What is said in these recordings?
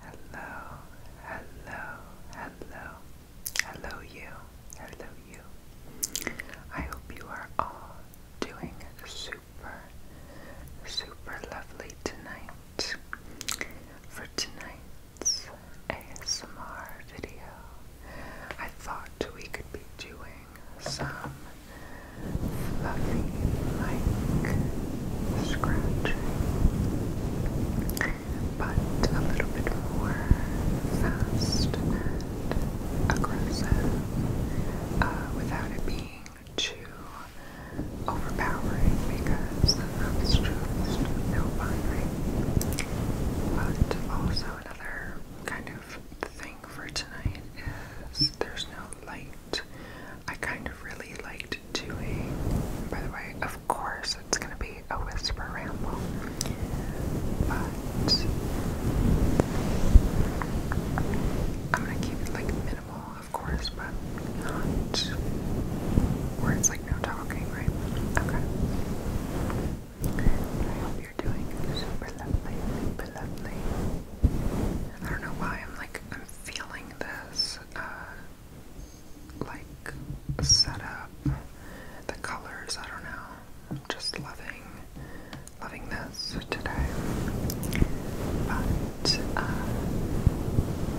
Hello, hello, hello, hello, you, hello, you. I hope you are all doing super, super lovely tonight. For tonight's ASMR video, I thought we could be doing some fluffy, like scratching, but a little bit more fast and aggressive without it being too overpowering because that's just no fun, But also another kind of thing for tonight is there's no light I kind of really liked doing. By the way, of course, it's gonna be a whisper ramble, but I'm gonna keep it like minimal, of course, but not where it's like no talking, right? Okay. I hope you're doing super lovely, super lovely. I don't know why I'm like I'm feeling this. Uh, like set up, the colors, I don't know. I'm Just loving, loving this today. But uh,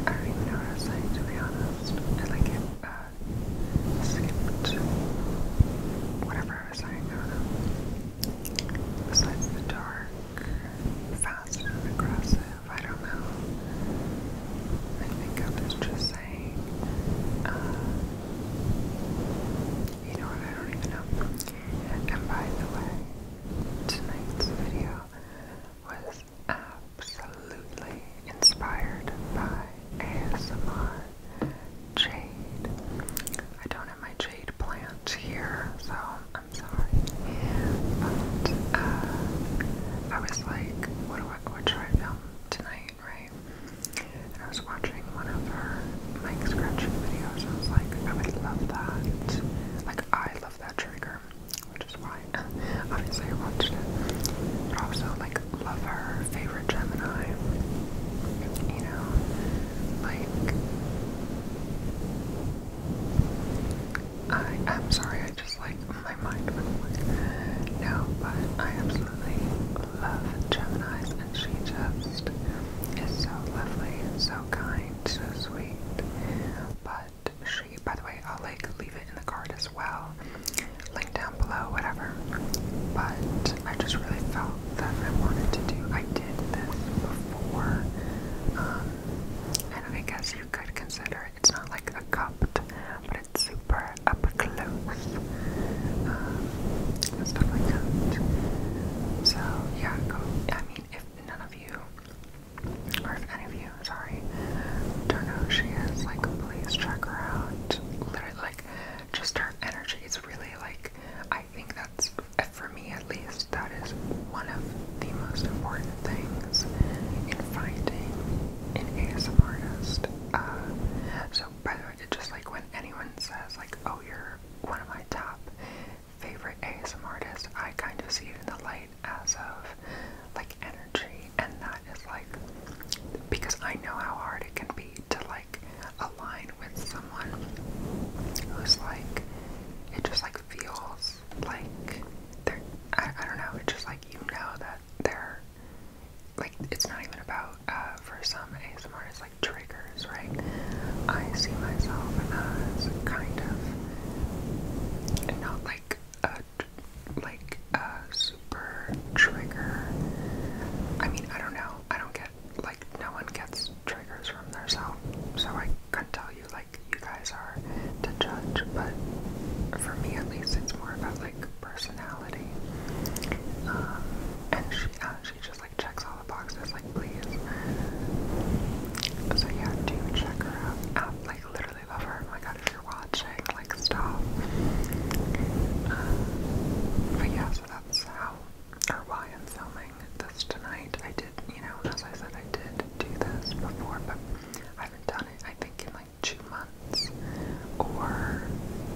I don't know what I was saying to be honest. I like it. Uh, whatever I was saying. Besides the dark, fast and I don't know. I think I was just saying, uh, you know I don't even know. and by the way, tonight's video was absolutely inspired by ASMR Jade. I don't have my jade plant here, so I'm sorry. But uh, I was like, what do I what should I film tonight, right? I was watching one of her mic scratching videos I was like, I would love that. Like I love that trigger, which is why obviously I watched to. But also like love her favorite Gemini. You know, like I am sorry, I just like my mind went away. No, but I absolutely love Gemini, and she just is so lovely and so kind, so sweet. But she, by the way, I'll like leave it in the card as well. Link down below, whatever. But I just really felt that I wanted to do I did this before. Um, I guess you could consider it's not like a cupped, but it's super up close. Um, and So yeah, go. I mean, if none of you, or if any of you, sorry, don't know who she is, like, please check her out. Literally, like, just her energy is really like. I think that's uh, for me at least, that is one of the most important things in finding an ASM artist. Uh, so, by the way, just like when anyone says, like, oh, you're one of my top favorite ASM artists, I kind of see it in the light as of like energy, and that is like because I know how hard it can be to like align with someone who's like it just like like feels like they I, don't know, it's just like you know that they're like it's not even about uh for some ASMR it's like triggers, right? I see myself as kind of not like a like a super trigger. I mean, I don't know. I don't get like no one gets triggers from their self. So I can not tell you like you guys are to judge, but for me at least it's more about like personality. Um, and she uh, she just like checks all the boxes like please. So yeah, do check her out. like literally love her. Oh my god, if you're watching, like stop. Um, but yeah, so that's how or why I'm filming this tonight. I did, you know, as I said, I did do this before, but I haven't done it, I think, in like two months or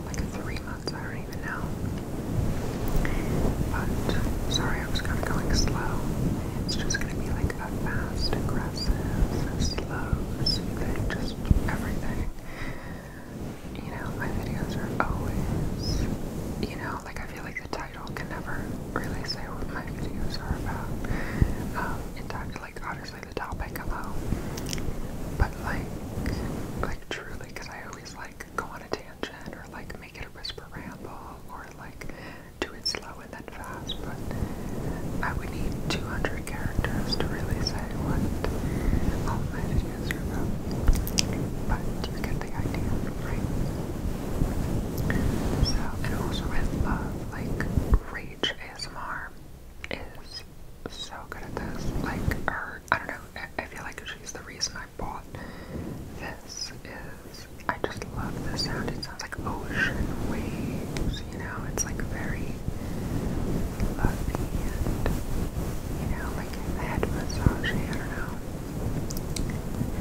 like three months, I don't even know. But sorry, I was kind of going slow. It's just going to be like a fast, aggressive, slow, soothing, just everything. You know, my videos are always, you know, like I feel like. The title can never really say what my videos are about. Um, in fact, like honestly, the topic alone, um, but like, like truly, because I always like go on a tangent or like make it a whisper ramble or like do it slow and then fast. But I would need 200 characters to really say what all um, my videos are about. But you can the idea, right? So, and also I love, uh, like, Rage ASMR is so good at this. Like, her, I don't know, I feel like she's the reason I bought this is, I just love the sound. It sounds like ocean waves, you know? It's like very lovely and, you know, like head massaging, I don't know.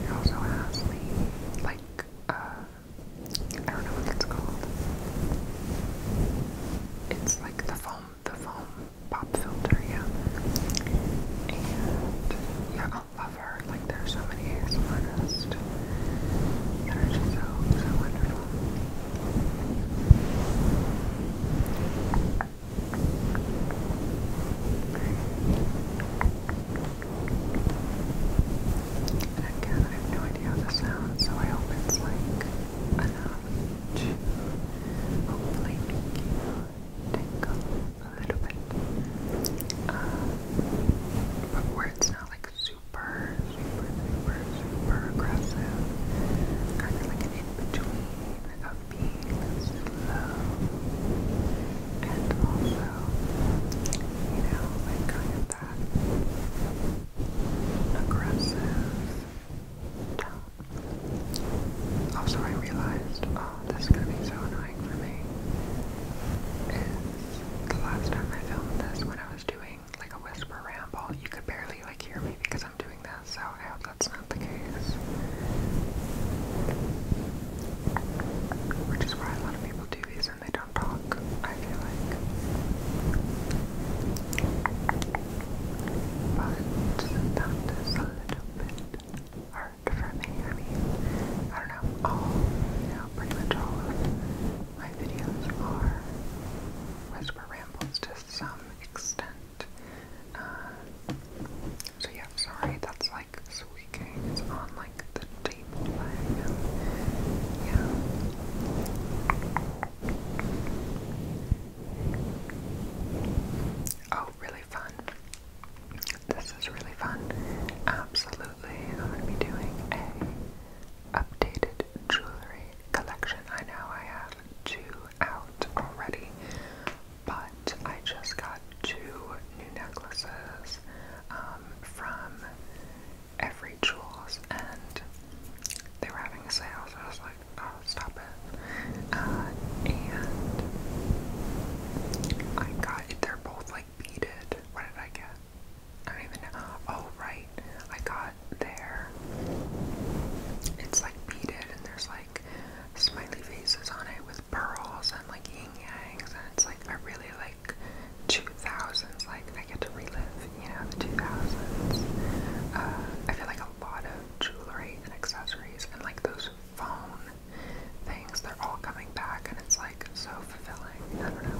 It also has like, uh, I don't know what it's called. It's like the foam, the foam pop filter, yeah. And, yeah, I love her. Like, there's so many ASMR just so, so wonderful. And again, I have no idea how this sounds, so I hope it's like enough hopefully make a little bit. Uh, but where it's not like super, super, super, super aggressive, kind of like an in between of being slow and also, you know, like kind of that aggressive tone. Also, I realized, oh, this is going to be so annoying for me, is the last time I filmed this when I was doing like a whisper ramble, you could barely like hear me because I'm doing this, so I hope that's not the case. Which is why a lot of people do these and they don't talk, I feel like. But that is a little bit hard for me. I mean, I don't know, all, you know, pretty much all of my videos are whisper rambles to some extent. Uh, so yeah, sorry, that's like squeaking. It's on like the table leg. yeah. Oh, really fun. This is really fun. Absolutely, I'm gonna be doing a updated jewelry collection. I know I have two out already, but I just got two new necklaces um, from Every Jewels, and they were having a sale, so I was like, oh, stop it. Uh, and I got, they're both like beaded. What did I get? I don't even know. Oh, right. I got there. It's like beaded, and there's like smiley faces on it with pearls and like yin yangs, and it's like I really like 2000s. Like I get to relive, you know, the 2000s. Uh, I feel like a lot of jewelry and accessories and like those phone things, they're all coming back, and it's like so fulfilling. I don't know.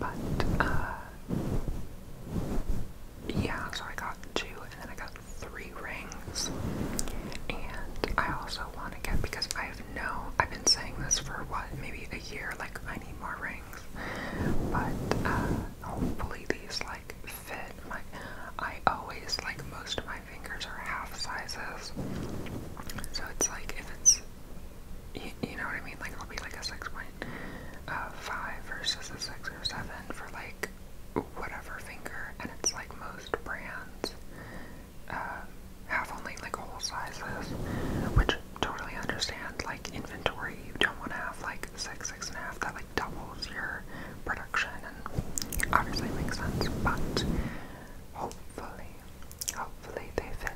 But, uh, yeah, so I got two and then I got three rings. And I also want to get, because I have no, I've been saying this for what, maybe a year, like I need more rings. But, uh, hopefully these, like, fit my, I always, like, most of my fingers are half sizes. So it's like if it's, you, know what I mean? Like it'll be like a 6.5 uh, versus a 6 or 7 for like whatever finger. And it's like most brands um, have only like whole sizes, which totally understand. Like inventory, you don't want to have like 6, and a half, That like doubles your production and obviously makes sense. But Hopefully, hopefully they fit,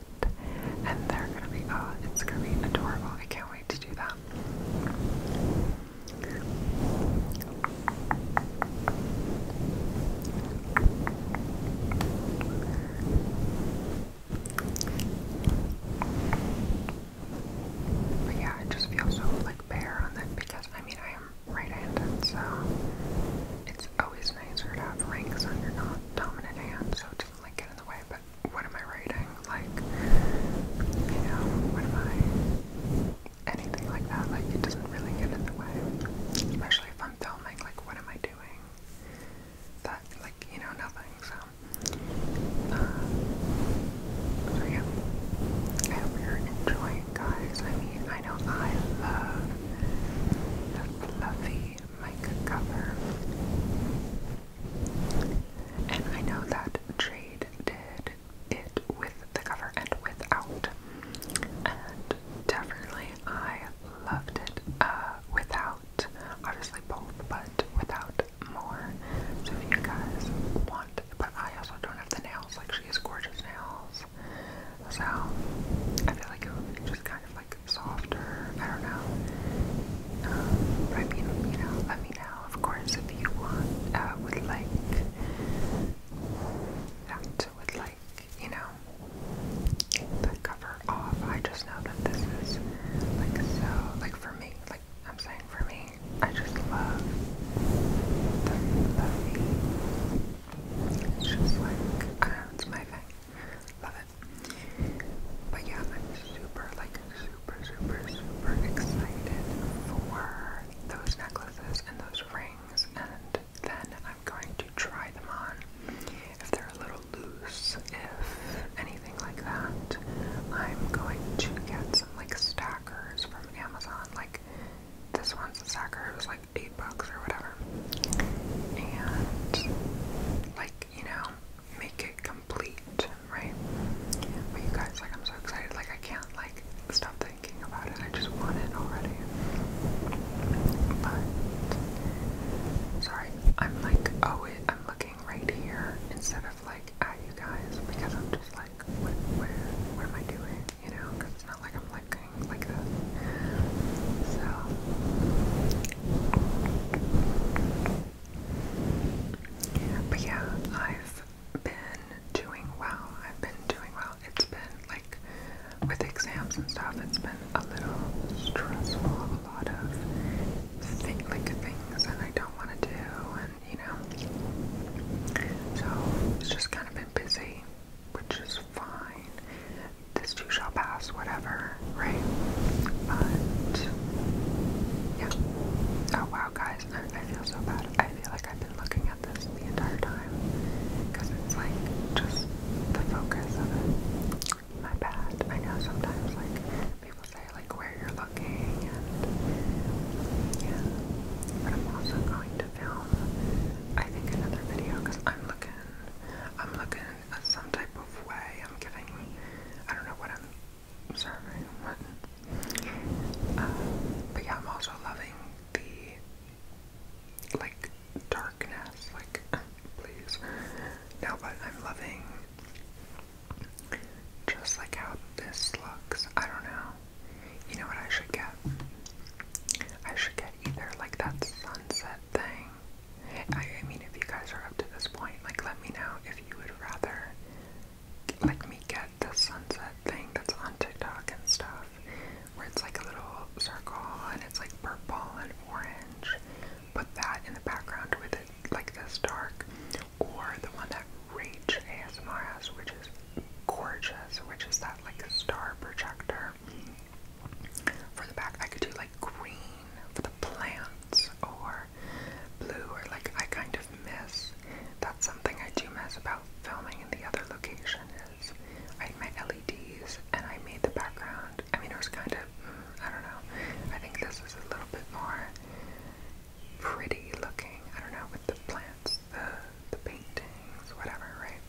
and they're gonna be. Oh, it's gonna be adorable. I can't wait to do that. But yeah, I just feel so like bare on them because I mean I right-handed, so it's always nicer to have rings on your non-dominant hand, so it doesn't like get in the way. But what am I writing? Like, you know, what am I? Anything like that? Like, it doesn't really get in the way, especially if I'm filming. Like, what am I doing? That, like, you know, nothing. So, uh, so yeah. I hope you're enjoying guys. I mean, I know I love the fluffy mica cover, and I know that Jade did it with the cover and without, and definitely I loved it uh, without. Obviously both, but without more. So if you guys want but I also don't have the nails. Like, she has gorgeous nails. So, I feel like it would be just kind of like softer. I don't know. Um, but I mean, you know, let me know, of course, if you want, uh, would like that, would like, you know, the cover off. I just know that this is like so, like for me, like I'm saying for me, I just love the fluffy just like, I don't know, it's my thing. Love it. But yeah, I'm super, like, super, super, super excited for those necklaces and those rings, and then I'm going to try them on. If they're a little loose, if anything like that, I'm going to get some, like, stackers from Amazon, like, this one's a sucker. it was like eight bucks or whatever. And like, you know, make it complete, right? But you guys like I'm so excited, like I can't like stop thinking about it. I just want it already. But sorry, I'm like oh it I'm looking right here instead of like at you guys because I'm just like what where what am I doing? you know, it's not like I'm like like this. So but yeah, I've been doing well. I've been doing well. It's been like with exams and stuff, it's been a little stressful, a lot of like things that I don't want to do and you know. So it's just kind of been busy, which is fine. This too shall pass, whatever, right? But yeah. Oh wow, guys, I, feel so bad. I feel like I've been looking at this the entire time because it's like just the focus of My bad. I know sometimes like people say like where you're looking and yeah, but I'm also going to I think, another video because I'm looking, I'm looking at some type of way. I'm giving, I don't know what I'm serving, uh, but yeah, I'm also loving the like darkness. Like, please, no, but I'm loving just like how this looks. I don't know. You know what I should get? I should get either like that sunset thing. I, mean, if you guys are up to this point, like let me know if you would rather like me get the sunset thing that's on TikTok and stuff, where it's like a little circle and it's like purple and orange. Put that in the background with it like this dark, or the one that Rach ASMR has, which is gorgeous, which is that like star projector for the back. I could do like green for the plants or blue, or like I kind of miss. That's something I do miss about filming in the other location is I had my LEDs and I made the background. I mean, it was kind of, mm, I don't know. I think this is a little bit more pretty looking. I don't know, with the plants the, the paintings, whatever, right?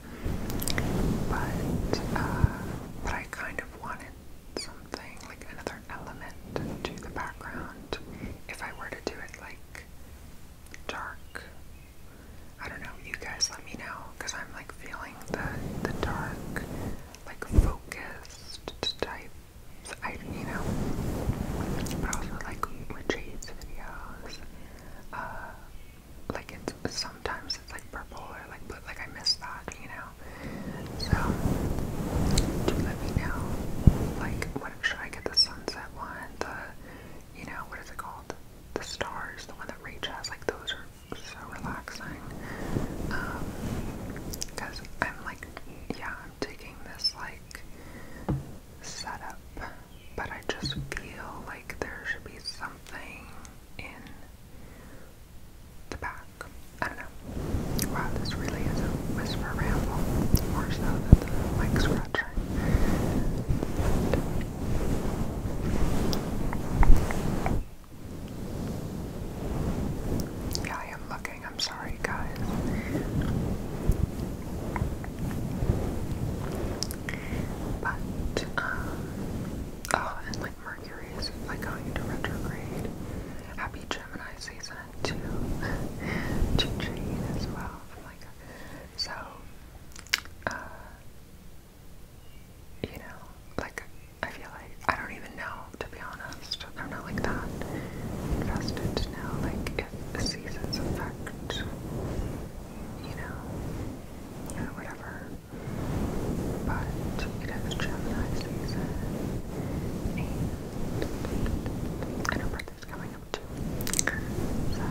But, uh, but I kind of wanted something, like another element to the background if I were to do it like dark. I don't know, you guys let me know because I'm like feeling the, the dark, like focused type so I, you know, but also like with Jade's videos, uh, like it's sometimes it's like purple or like blue, like I miss that, you know. So do let me know, like, what should I get the sunset one? The, you know, what is it called? The stars, the one that Rach has, like those are so relaxing. Um, because I'm like, yeah, I'm taking this like setup, but I just feel like there should be something in the back. I don't know. Wow, this really is a whisper ramble, more so than the mic scratcher. yeah, I am looking I'm sorry, guys. But, uh, oh, and like Mercury like going into retrograde. Happy Gemini season to to as well. like, so, uh, you know, like, I feel like I don't even know, to be honest fast. They're not like that infested now. Like if a seasons affect, you know, you know, whatever. But it is Gemini season, and I birthday's coming up too. So.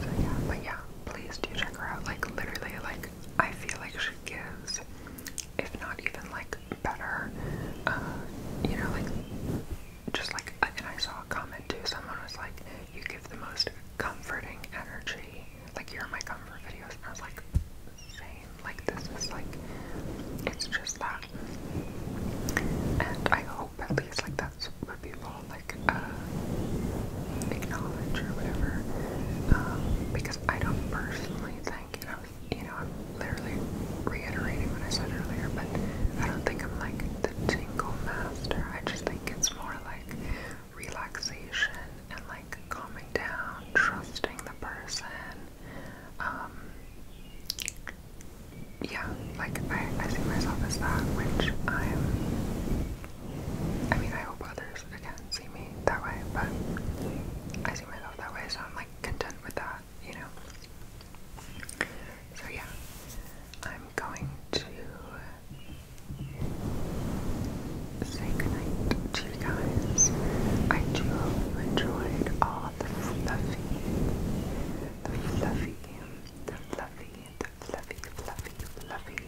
So yeah, but yeah, please do check her out. Like literally, like I feel like she gives if not even like better. Uh, you know, like just like, and I saw a comment too. Someone was like, "You give the most comforting energy." Like, you're my comfort videos, and I was like, "Same." Like, this is like, it's just that. And I hope at least like that's what people like uh, acknowledge or whatever, um, because I don't personally think like, and i you know, I'm literally reiterating what I said earlier, but I don't think I'm like the tingle master. I just think it's more like relaxation and like calming down, trusting the person. Um, yeah, like I see myself as that, which I'm. I mean, I hope others because I can't see me that way, but I see myself that way, so I'm like content with that, you know? So, yeah, I'm going to say goodnight to you guys. I do hope you enjoyed all the fluffy, the fluffy, the fluffy, the fluffy, fluffy, fluffy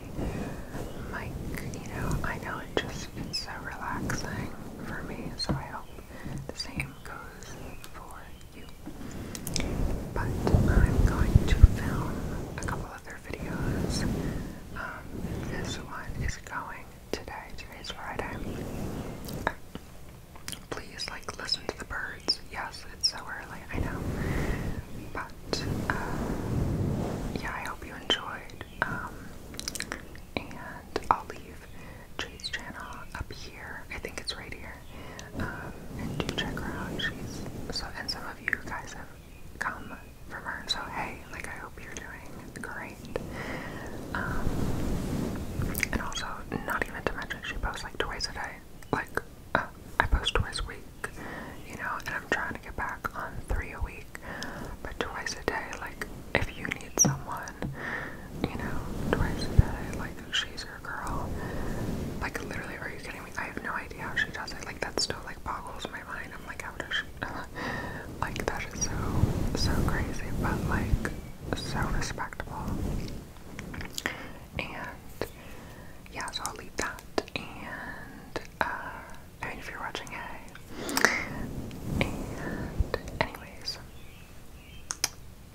like, you know, I know it just feels so relaxing for me, so I hope the same goes for you. But I'm going to film a couple other videos. Um, this one is going today. Today's Friday. please, like, listen to the birds. Yes, it's so early, I know. But, uh, yeah, I hope you enjoyed. Um, and I'll leave Jay's channel up here. I think it's right here. Um, and do check her out. She's so. And some of you guys have come from her. So hey, like I hope you're doing great. Um, and also, not even to mention, she posts like twice a day. Like uh, I post twice a week. You know, and i trying to get back on three a week, but twice a day, like, if you need someone, you know, twice a day, like, she's your girl. Like, literally, are you kidding me? I have no idea how she does it. Like, that still, like, boggles my mind. I'm like, how does she? like, that is so, so crazy, but, like, so respectable. And, yeah, I'll leave that. And, uh, I if you're watching, hey. And, anyways,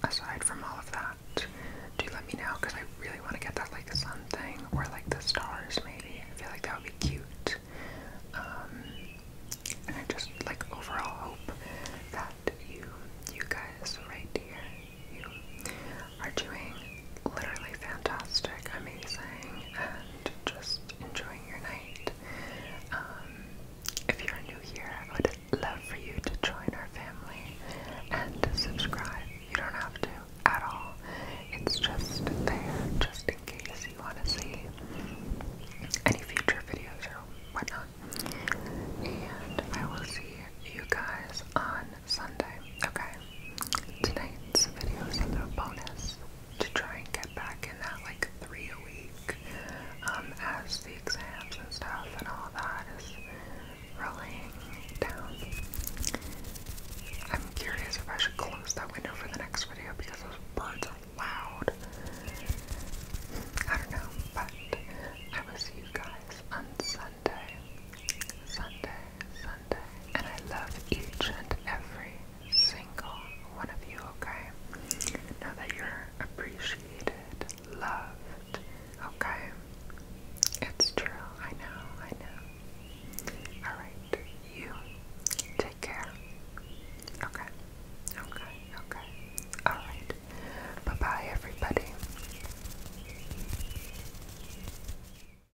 aside from all of that, do let me know because I really want to get that like sun thing or like the stars maybe. I feel like that would be cute. Um, and I just like overall hope that you, you guys right here, you are doing literally fantastic, amazing, and just enjoying your night. Um, if you're new here, I would love for you to join our family and subscribe. You don't have to at all. It's just there, just in case you want to see any future videos or whatnot. And I will see you guys on Sunday. Okay. Tonight's video is a little bonus to try and get back in that like three a week um, as the exams and stuff and all that is rolling down. I'm curious if I should close that window for the next video because those birds are loud. I don't know, but I will see you guys on Sunday, Sunday and I love each and every single one of you, okay? Now that you're appreciated, loved, okay? It's true, I know, I know. Alright, you take care. Okay, okay, okay. Alright, bye bye, everybody.